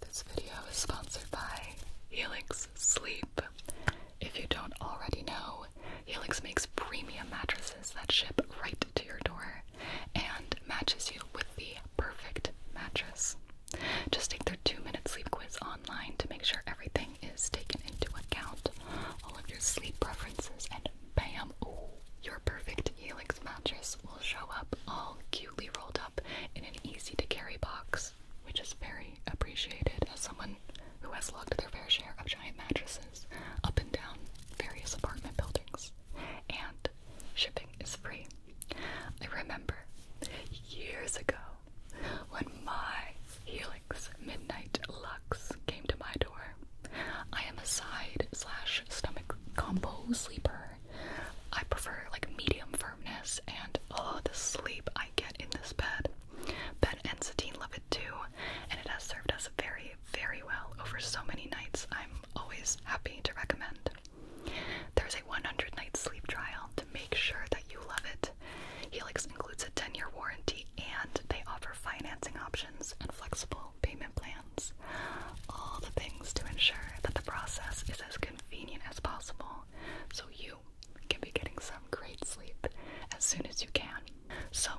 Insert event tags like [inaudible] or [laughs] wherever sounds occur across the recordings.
This video is sponsored by Helix Sleep. If you don't already know, Helix makes premium mattresses that ship right to your door and matches you with the perfect mattress. Just take their two minute sleep quiz online to make sure everything is taken into account, all of your sleep preferences, and bam, your perfect Helix mattress will show up all cute rolled up in an easy to carry box, which is very appreciated as someone who has logged their fair share of giant mattresses up and down various apartment buildings. And shipping is free. I remember years ago when my Helix Midnight Lux came to my door. I am a side slash stomach combo sleeper I prefer like medium firmness and oh the sleep I get in this bed. Ben and Satine love it too, and it has served us very, very well over so many nights. I'm always happy to recommend. There's a 100 night sleep trial to make sure that you love it. Helix includes a 10 year warranty and they offer financing options and flexible payment plans. All the things to ensure that the process is as good convenient as possible so you can be getting some great sleep as soon as you can. So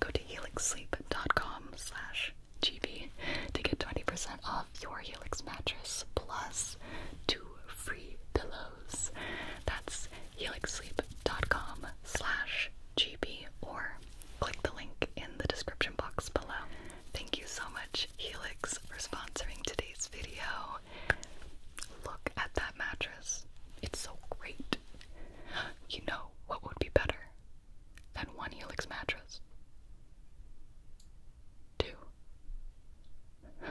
go to helixsleep.com slash GB to get 20% off your Helix mattress plus two free pillows. That's helixsleep.com slash GB or click the link in the description box below. Thank you so much Helix, for sponsoring today's video. Look at that mattress. It's so great. You know what would be better than one Helix mattress? Two. [laughs]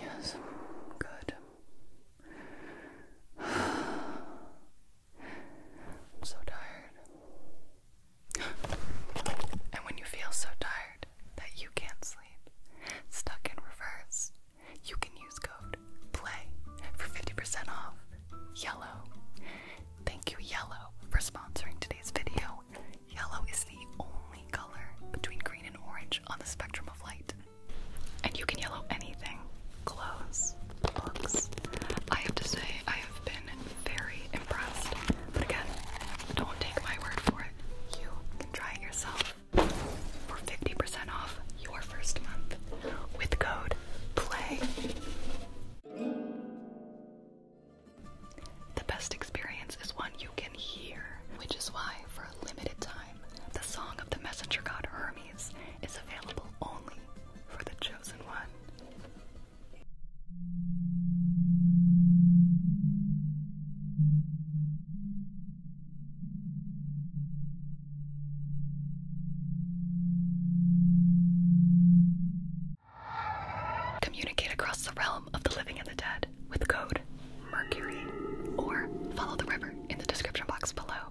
Yes, good. I'm so tired. And when you feel so tired that you can't sleep, stuck in reverse, you can use code PLAY for 50% off. Yellow. Thank you, Yellow, for sponsoring today's video yellow. is the only color between green and orange on the spectrum of light. And you can yellow anything clothes, books. I have to say, I have been very impressed. But again, don't take my word for it. You can try it yourself for 50% off your first month with code PLAY. The best experience is one you can hear, which is why, for a limited time, the Song of the Messenger God Hermes is available only for the chosen one. Communicate across the realm of the living and the dead with code MERCURY or follow the river in the description box below.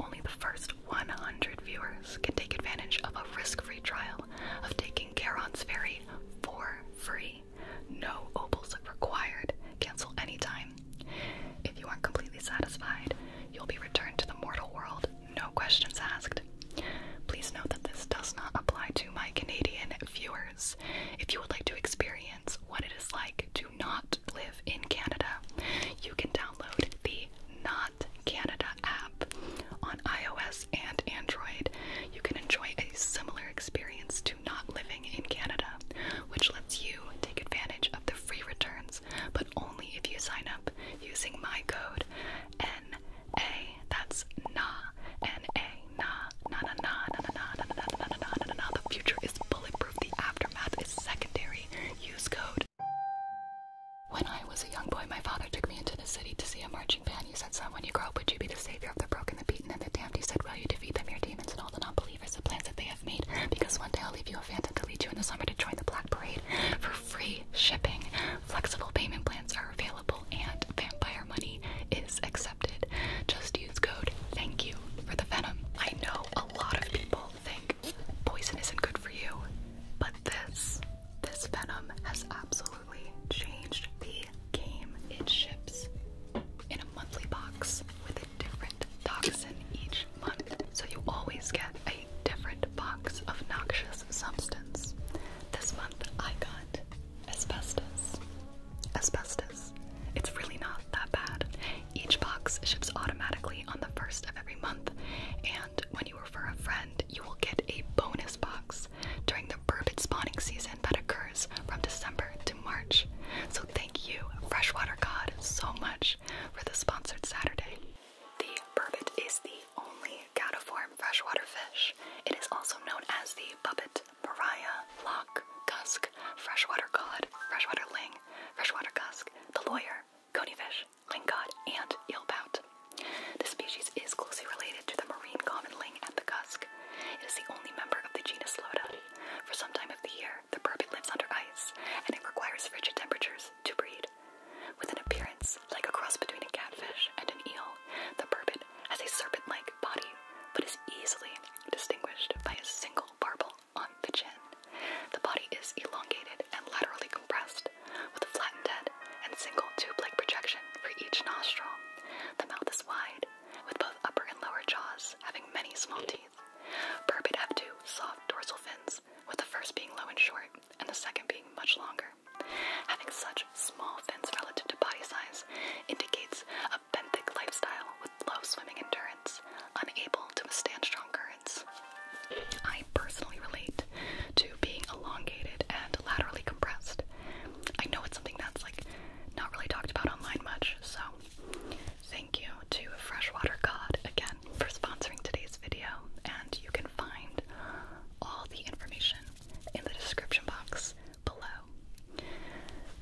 Only the first 100 viewers can take advantage of a risk-free trial of taking Charon's Ferry for free. No opals required. Cancel anytime. If you aren't completely satisfied, you'll be returned to the mortal world no questions asked. Please note that this does not apply to my Canadian viewers. If you would like to experience what it is like to not live in Canada, you can download the Not Canada app on iOS and Android. You can enjoy a similar experience to not living in Canada, which lets you take advantage of the free returns, but only if you sign up using my code N a. That's na. N A. Na. Na na na na na na na na na na na The future is bulletproof. The aftermath is secondary. Use code. When I was a young boy, my father took me into the city to see a marching band. He said, "Son, when you grow up, would you be the savior of the broken, the beaten, and the damned?" He said, Well, you defeat them, your demons, and all the non-believers, the plans that they have made? Because one day I'll leave you a phantom to lead you in the summer to join the black parade free shipping. Flexible payment plans are available and vampire money is accepted. Just use code thank you for the venom. I know a lot of people think poison isn't good for you, but this this venom has absolutely changed the game. It ships in a monthly box with a different toxin each month. So you always get a different box of noxious substance. This month I got asbestos. Asbestos. It's really not that bad. Each box ships automatically on the first of every month, and when you refer a friend, you will get a bonus box during the burbot spawning season that occurs from December to March. So thank you, Freshwater God, so much for the sponsored Saturday. The burbot is the only cataform freshwater fish. It is also known as the bubbot, pariah, lock, cusk, freshwater cod, freshwater ling, freshwater cusk, the lawyer, coneyfish, lingcod, and eelpout. The species is closely related to the marine common ling and the cusk. It is the only member of the genus Loda. For some time of the year, the burbot lives under ice, and it requires frigid temperatures to breed. With an appearance like a cross between a catfish and an eel, the burbot has a serpent like body but is easily distinguished by a single barbel on the chin. The body is elongated and laterally compressed, with a flattened head and single tube like projection for each nostril. The mouth is wide, with both upper and lower jaws having many small teeth. Burbot have two soft dorsal fins, with the first being low and short and the second being much longer. Having such small fins relative to body size indicates a benthic lifestyle with low swimming endurance, unable to withstand strong currents. I personally relate to being elongated and laterally compressed. I know it's something that's like not really talked about online much, so thank you to Freshwater Cod again for sponsoring today's video. And you can find all the information in the description box below.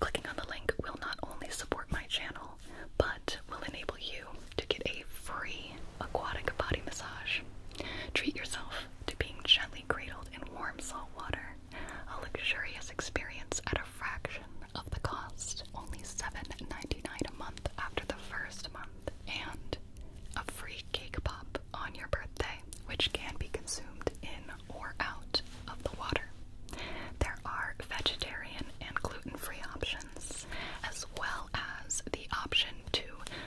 Clicking on the link will not only support my channel, but will enable you to get a free aquatic body massage. Treat yourself to being gently cradled in warm salt water, a luxurious experience at a fraction of the cost, only $7.99 a month after the first month, and a free cake pop on your birthday, which can be consumed in or out of the water. There are vegetarian and gluten free options, as well as the option to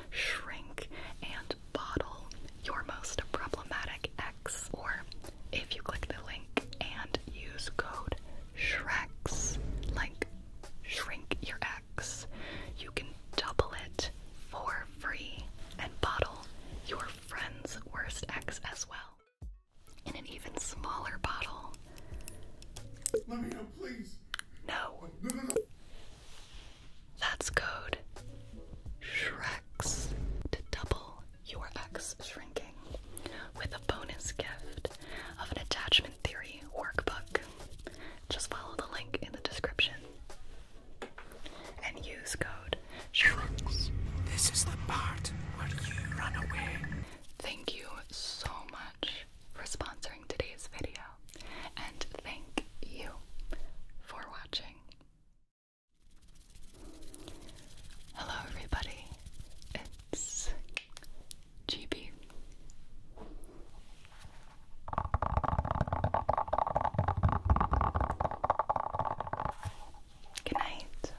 shrink and bottle your most problematic X, or if you click the link and use code SHREX, like shrink your X, you can Double it for free and bottle your friend's worst ex as well in an even smaller bottle. Let me know, please. No. no, no, no. That's code Shrex to double your ex shrinking with a bonus gift of an attachment. Theory Workbook. Just follow the link in the description and use code SHRUGS. This is the part where you run away. Thank you so much for sponsoring today's video, and thank you for watching. Hello, everybody. It's GB. Good night.